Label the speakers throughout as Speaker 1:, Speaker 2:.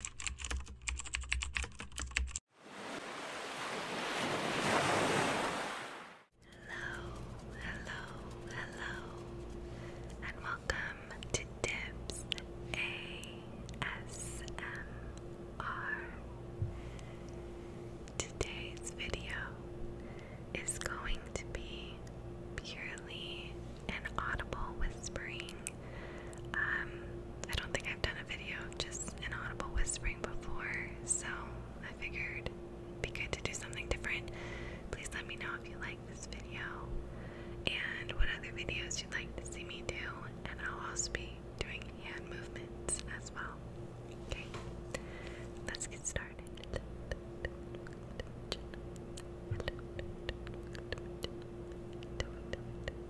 Speaker 1: Hello, hello, hello, and welcome to Dibs ASMR. Today's video is going to be purely an audible whispering. Um, I don't think I've done a video just an audible whispering before, so I figured it'd be good to do something different. Please let me know if you like this video and what other videos you'd like to see me do, and I'll also be doing hand movements as well. Okay, let's get started.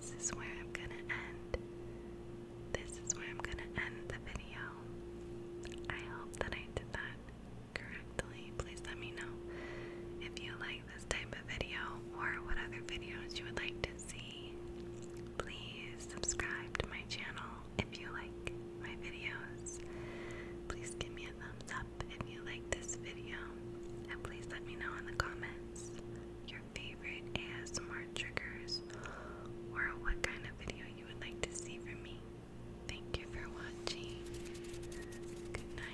Speaker 1: This is where I'm gonna end. This is where I'm gonna end the video. I hope that I did that correctly. Please let me know if you like this type of video or what other videos you would like to see. Please subscribe to my channel if you like my videos. Please give me a thumbs up if you like this video. And please let me know in the comments your favorite ASMR triggers or what kind of video you would like to see from me. Thank you for watching. Good night.